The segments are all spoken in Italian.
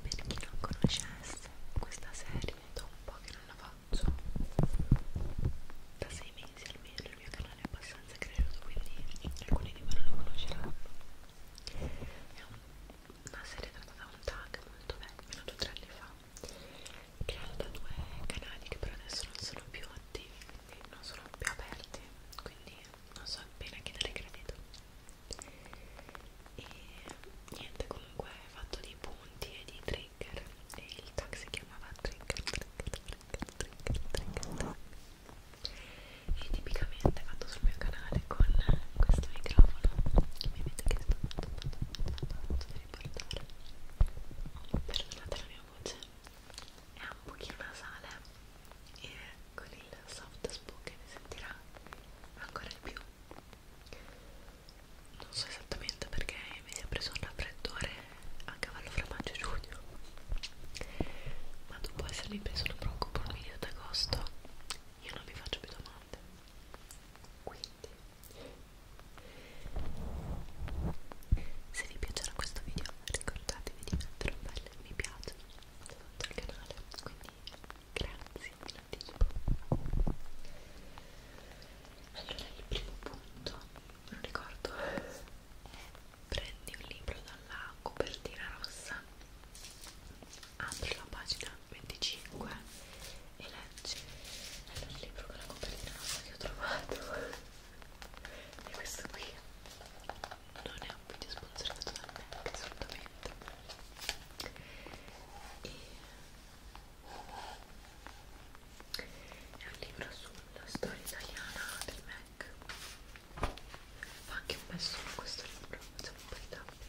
Per chi non conoscesse questa serie, da un po' che non la faccio, da sei mesi almeno il mio canale è abbastanza cresciuto, quindi alcuni di voi non lo conosceranno. È un, una serie tratta da un tag molto vecchio, venuto tre anni fa creato da due canali che per adesso non sono più attivi quindi non sono più aperti quindi non so appena chi dare credito e niente comunque è fatto di punti e di trigger e il tag si chiamava trigger trigger trigger trigger trigger, trigger. e tipicamente è fatto sul mio canale con questo microfono che mi avete chiesto tanto tanto tanto tanto di riportare perdonate la mia mia voce è un pochino nasale e con il soft spoken si sentirà ancora di più non so esattamente perché mi si è preso un raffreddore a cavallo fra maggio e giugno ma dopo essermi preso non preoccupo un video d'agosto io non vi faccio più domande quindi se vi piacerà questo video ricordatevi di mettere un bel mi piace sotto al canale, quindi grazie in anticipo. Allora il primo punto, non ricordo, è prendi un libro dalla copertina rossa, apri la pagina 25 e leggi è il libro con la copertina rossa che ho trovato e questo qui non è un video sponsorizzato da me assolutamente e è un libro sulla storia italiana del Mac fa anche un bel suono questo libro facciamo un po' di tapping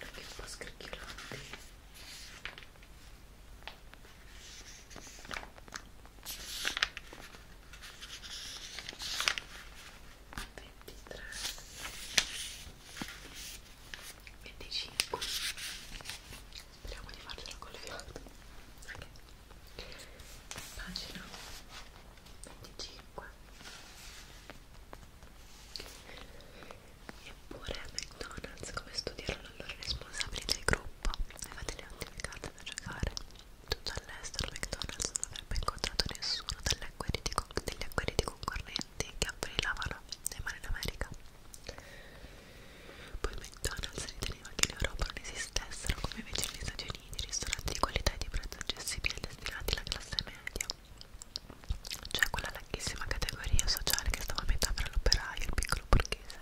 anche un po' scricchiolanti ventitré venticinque speriamo di farcela col fiato ok pagina 1 25 eppure McDonald's come studiarono allora i responsabili del gruppo aveva delle ottime carte da giocare tutto all'estero McDonald's non avrebbe incontrato nessuno degli acqueriti concorrenti che avvelenavano le mani in America poi McDonald's riteneva che in Europa non esistessero come invece negli Stati Uniti ristoranti di qualità e di prezzo accessibile destinati alla classe media cioè quella larghissima categoria sociale che stava a metà fra l'operaio e il piccolo borghese.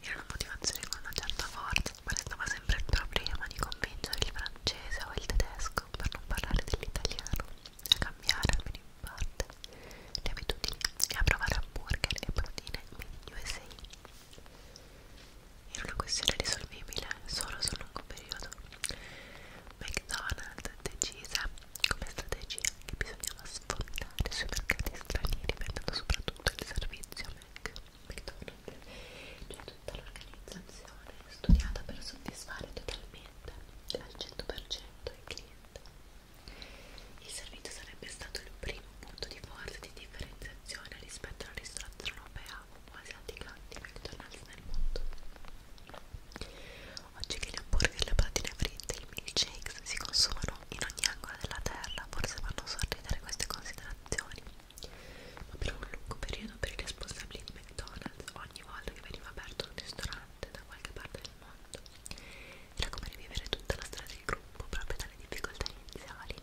Era una motivazione con una certa forza, ma restava sempre il problema di convincere il francese o il tedesco, per non parlare dell'italiano, a cambiare almeno in parte le abitudini e a provare hamburger e proteine made in USA era una questione risolvibile solo sul lungo periodo. McDonald's decise come strategia che bisognava sfondare sui mercati stranieri vendendo soprattutto il servizio Mac. McDonald's, cioè tutta l'organizzazione studiata per soddisfare totalmente al 100% il cliente. Il servizio sarebbe stato il primo punto di forza di differenziazione rispetto alla ristorazione europea o asiatica di McDonald's nel mondo. Oggi che gli hamburger, le patatine fritte e i milkshakes si consumano in ogni angolo della terra, forse vanno a sorridere queste considerazioni. Ma per un lungo periodo per i responsabili di McDonald's, ogni volta che veniva aperto un ristorante da qualche parte del mondo, era come rivivere tutta la storia del gruppo proprio dalle difficoltà iniziali.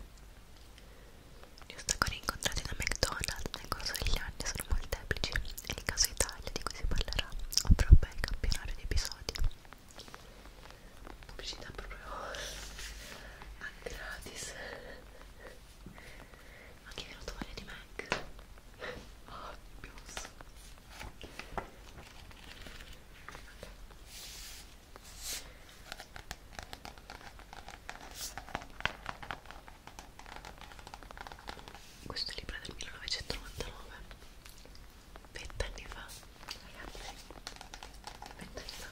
Gli ostacoli incontrati da McDonald's nel corso degli anni sono molteplici e il caso Italia di cui si parlerà avrebbe il campionario di episodi. Pubblicità proprio a gratis. Ma che venuto voglia di Mac? Oh, pius. Okay. Questo libro è del 1999, vent'anni fa, ragazzi, vent'anni fa.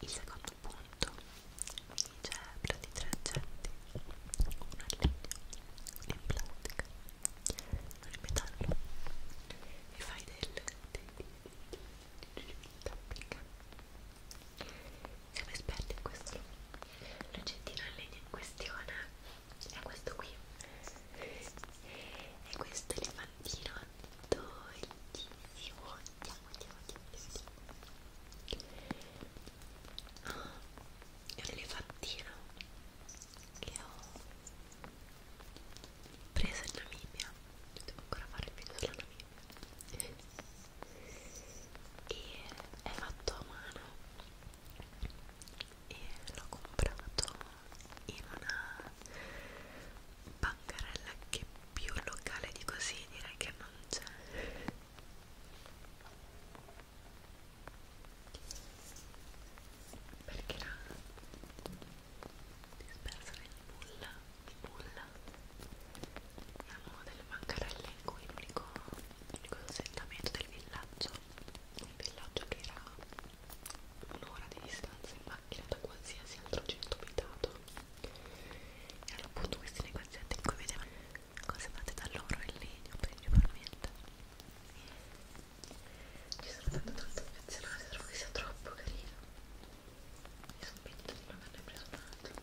Il secondo punto mi dice di tre oggetti, uno in legno, uno in plastica, uno in metallo e fai del, del, del, del tapping siamo esperti in questo l'oggettino in legno in questione è questo qui è questo elefantino dolcissimo andiamo andiamo andiamo, andiamo. Oh, è un elefantino che ho preso in Namibia devo ancora fare il video sulla Namibia e è fatto a mano e l'ho comprato in una bancarella che più locale di così direi che non c'è perché era dispersa nel nulla bulla avevamo delle bancarelle in cui l'unico assentamento del villaggio un villaggio che era un'ora di distanza in macchina da qualsiasi altro centro abitato e erano appunto questi negozianti in cui vedevano cose fatte da loro e legno principalmente ci sono tanto tanto affezionata, trovo che sia troppo carino mi sono pentita di non averne preso un altro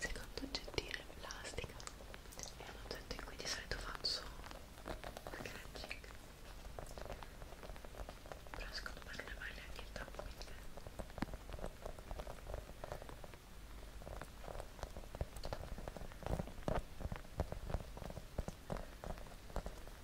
Secondo oggettino in plastica è un oggetto in cui di solito faccio packaging però secondo me non è mai neanche il top quindi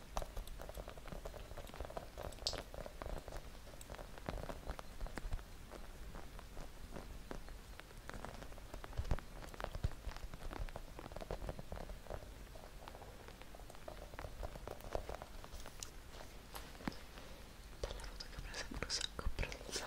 Dalla foto che ho sembra un sacco abbronzata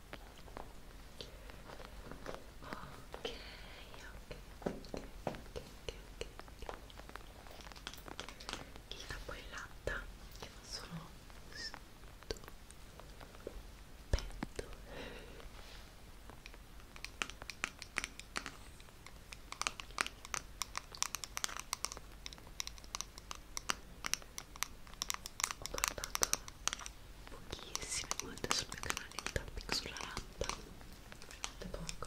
ok, ok, ok, ok, ok. Il capo in latta che non sono stupendo ho portato pochissime volte sul mio canale il tapping sulla latta veramente poco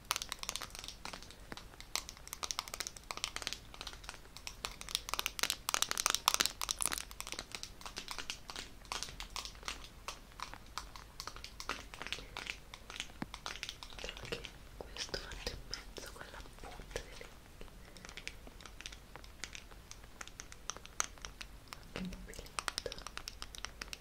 anche questo fatto in mezzo con la punta delle anche un po' più lento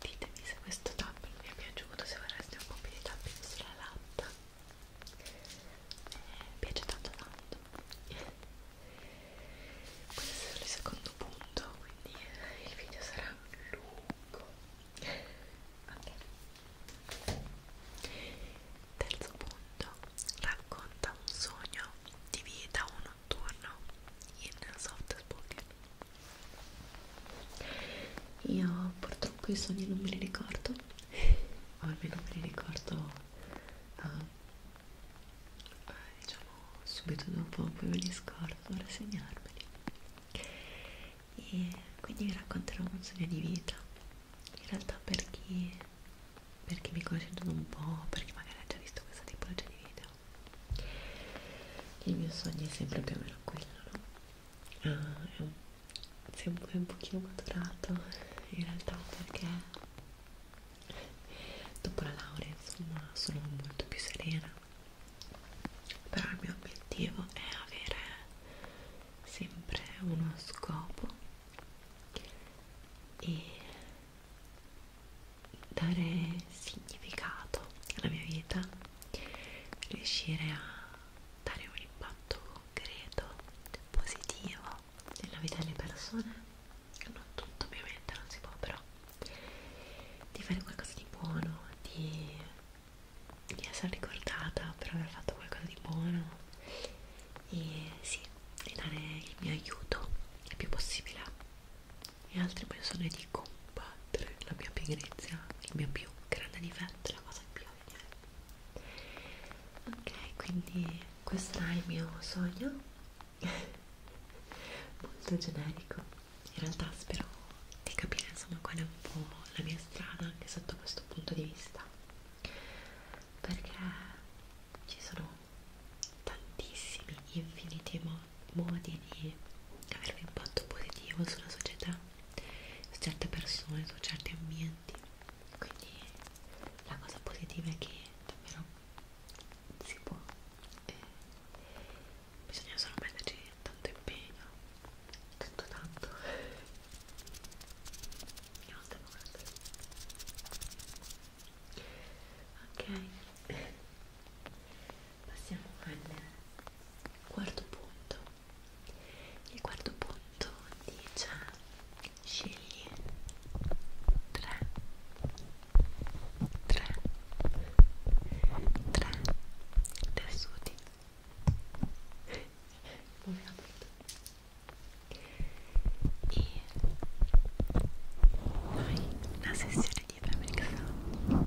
ditemi se questo tapping vi è piaciuto se vorreste un po' più di tapping sulla latta eh, piace tanto tanto questo è il secondo punto quindi eh, il video sarà lungo ok terzo punto racconta un sogno di vita o notturno in soft spoken io purtroppo i sogni non me li ricordo, o almeno me li ricordo uh, diciamo subito dopo, poi me li scordo, rassegnarmeli. E quindi vi racconterò un sogno di vita. In realtà per chi, per chi mi conosce un po', per chi magari ha già visto questa tipologia di video, il mio sogno è sempre più o meno quello no? ah, è, un, è un pochino maturato in realtà perché dopo la laurea insomma sono molto più serena però il mio obiettivo è avere sempre uno scopo e dare significato alla mia vita, riuscire a dare un impatto concreto, positivo nella vita delle persone, non tutto ovviamente, non si può però, di fare qualcosa di buono, di, di essere ricordata per aver fatto qualcosa di buono e sì, e dare il mio aiuto il più possibile e altre persone di combattere la mia pigrizia, il mio più grande difetto, la cosa più ovvia. Ok, quindi questo è il mio sogno, molto generico. In realtà spero di capire insomma qual è un po' la mia strada anche sotto questo punto di vista, perché ci sono tantissimi, infiniti modi modi di avere un impatto positivo sulla società, su certe persone, su certi ambienti. Quindi la cosa positiva è che davvero si può, eh, bisogna solo metterci tanto impegno, tanto tanto. Io non devo Ok, passiamo al quarto punto il quarto punto dice scegli tre tre tre tessuti ovviamente e noi una sessione di Fabric Sound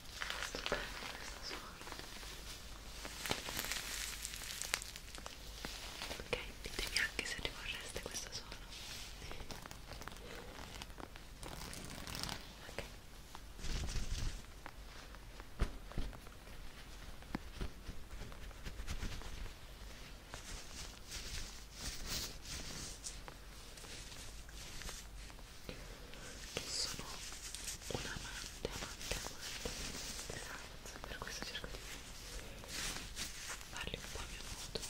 Stupendo questo suono. Ok, ditemi anche se rivorreste questo suono. Ok. Ok, che sono un amante, amante, amante esatto, per questo cerco di farli un po' a mio modo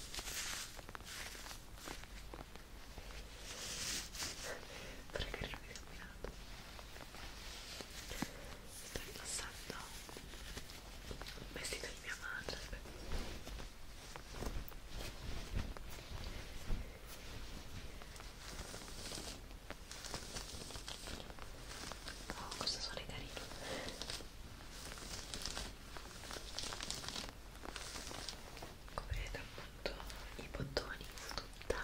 per carino di camminato sto indossando un vestito di mia madre Oh, questo suono è carino. Come vedete appunto i bottoni su tutta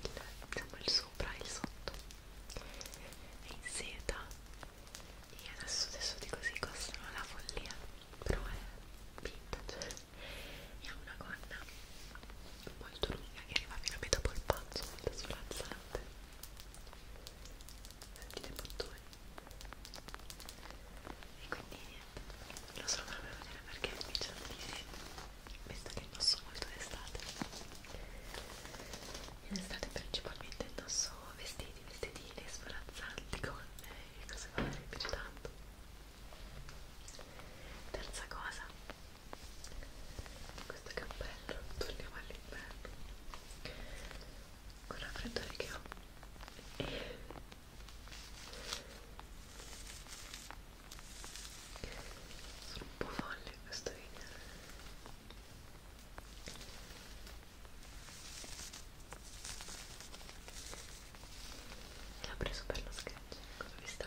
il, diciamo, il sopra e il sotto. È in seta. E adesso tessuti così costano la follia. Però è vintage e ha una gonna molto lunga che arriva fino a metà polpazzo, molto sfrazzante sentite i bottoni e quindi niente, lo so proprio vedere perché mi c'è da dire visto che indosso molto d'estate in estate principalmente indosso vestiti, vestitine sfrazzanti, gonne eh, e cose varie, mi piace tanto terza cosa questo cappello torniamo all'inverno con la freddore che ho sono un po' folle in questo video che ha preso per lo sketch cosa vi sta?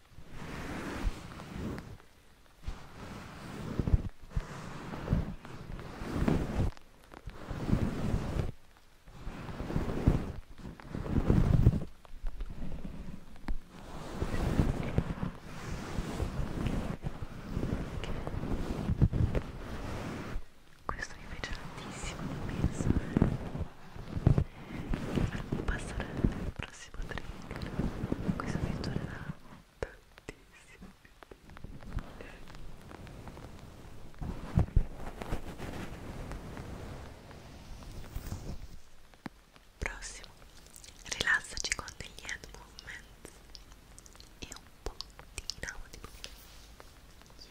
questo mi piace tantissimo, non penso Faremo passare al prossimo trick. Questo mi durerà tantissimo. Prossimo, rilassaci con degli hand movements e un po' di inaudible. Yes.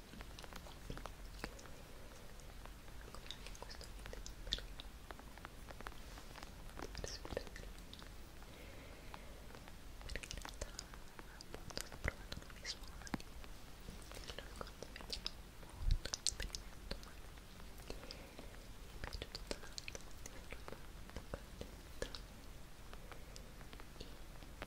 anche questo video per, per sperare perché in realtà appunto sto provando nuovi suoni allora quando vedo molto esperimento ma mi è piaciuto tanto di un po' di e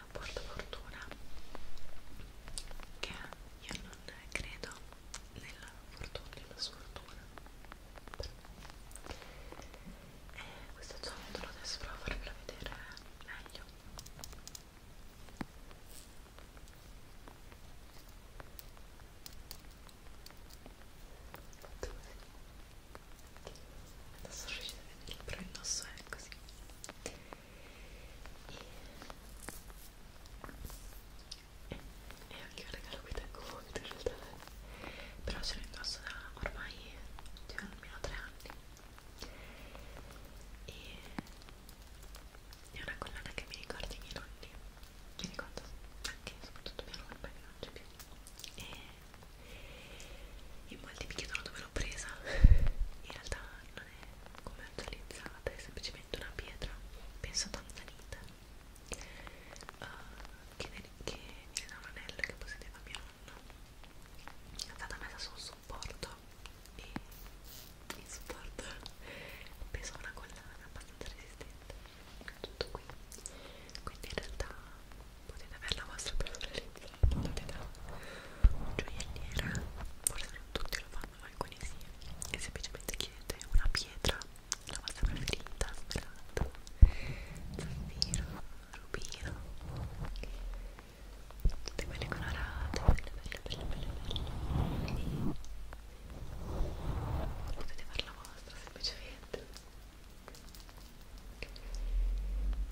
portafortuna che io non credo nella fortuna nella sfortuna e eh, questo ciondolo adesso provo a farvelo vedere meglio Adesso riuscite a vedere, però il nostro è così e, e anche un regalo che tengo molto in realtà però ce l'ho indosso da ormai cioè, almeno tre anni e è una collana che mi ricorda i miei nonni mi ricordo anche soprattutto mia nonna che non c'è più e in molti mi chiedono dove l'ho presa in realtà non è commercializzata, è semplicemente una pietra, penso tanzanita, uh, eh, che, che era un anello che possedeva mio nonno, è stata messa sul supporto e il supporto pesa una collana abbastanza resistente, tutto qui, quindi in realtà potete avere la vostra personalizzazione portate da un gioielliere forse non tutti lo fanno ma alcuni sì e semplicemente chiedete una pietra la vostra preferita smeraldo zaffiro rubino tutte quelle colorate belle belle belle belle belle potete fare la vostra semplicemente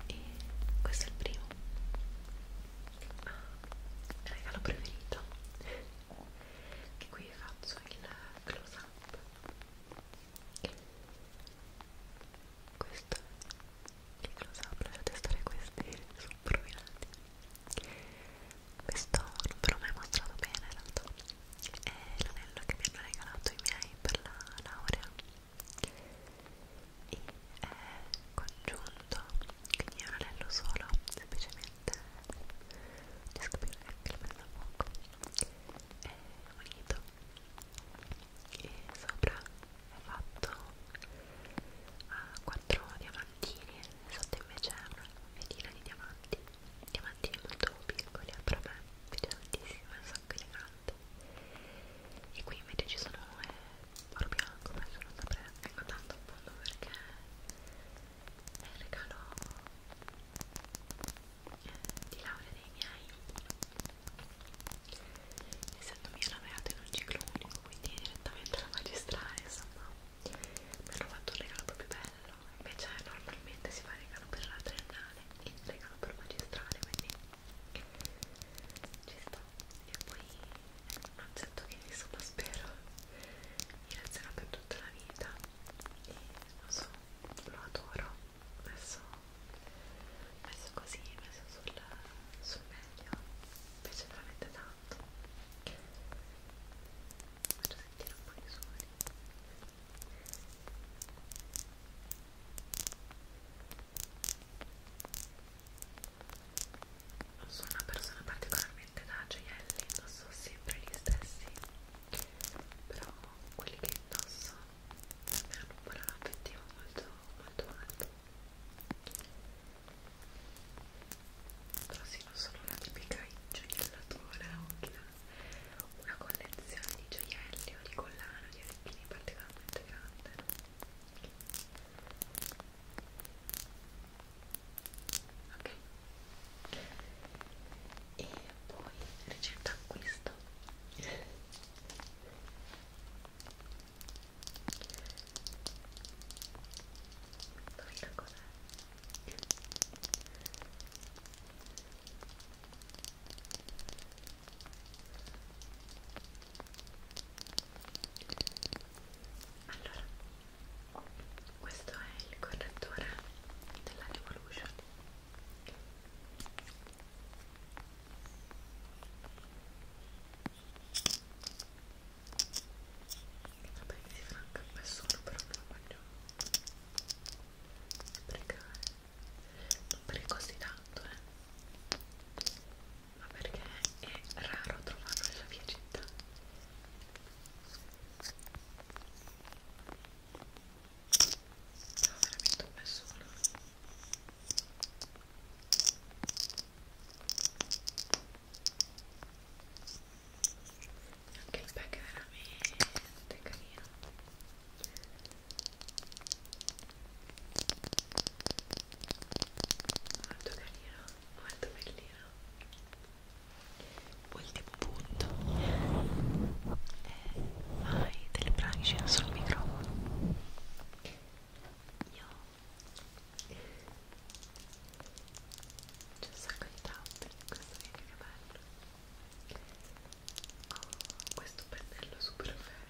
e questo è il primo regalo preferito che qui faccio il close up questo è il close up dovete stare questi sopruminati questo non ve l'ho mai mostrato bene in realtà è l'anello che mi hanno regalato i miei per la laurea e è eh, congiunto quindi è un anello solo semplicemente riesco a capire anche il mezzo poco è unito e sopra è fatto a 4 diamantini sotto invece è una vetina di diamanti diamantini molto piccoli però a me piace tantissimo è un sacco elegante e qui invece ci sono eh, or bianco adesso non saprei neanche ecco, tanto appunto perché è il regalo eh, di laurea dei miei essendo mia laureata in un ciclo unico quindi direttamente alla magistrale insomma mi hanno fatto un regalo proprio bello invece normalmente si fa regalo per la triennale e regalo per magistrale quindi ci sta e poi è un oggetto che insomma spero mi resterà per tutta la vita e lo so, lo adoro messo, messo così, messo sul, sul meglio mi piace veramente tanto faccio sentire un po' di suoni sono una persona particolarmente da gioielli, indosso sempre gli stessi, però quelli che indosso hanno un valore affettivo molto, molto alto. Però sì, non sono una tipica gioiellatore o una collezione di gioielli o di collana o di orecchini particolarmente grande. No? ok e poi ricetta acquisto dov'è cos'è? allora questo è il correttore della Revolution vabbè si farà anche un solo però non lo voglio sprecare non per così tanto eh ma perché è raro trovarlo nella mia città no, veramente un nessuno anche il pack è veramente carino molto carino molto bellino ultimo punto è eh, hai delle branchie sul microfono io c'è un sacco di tappe in questo video che bello ho oh, questo pennello super bello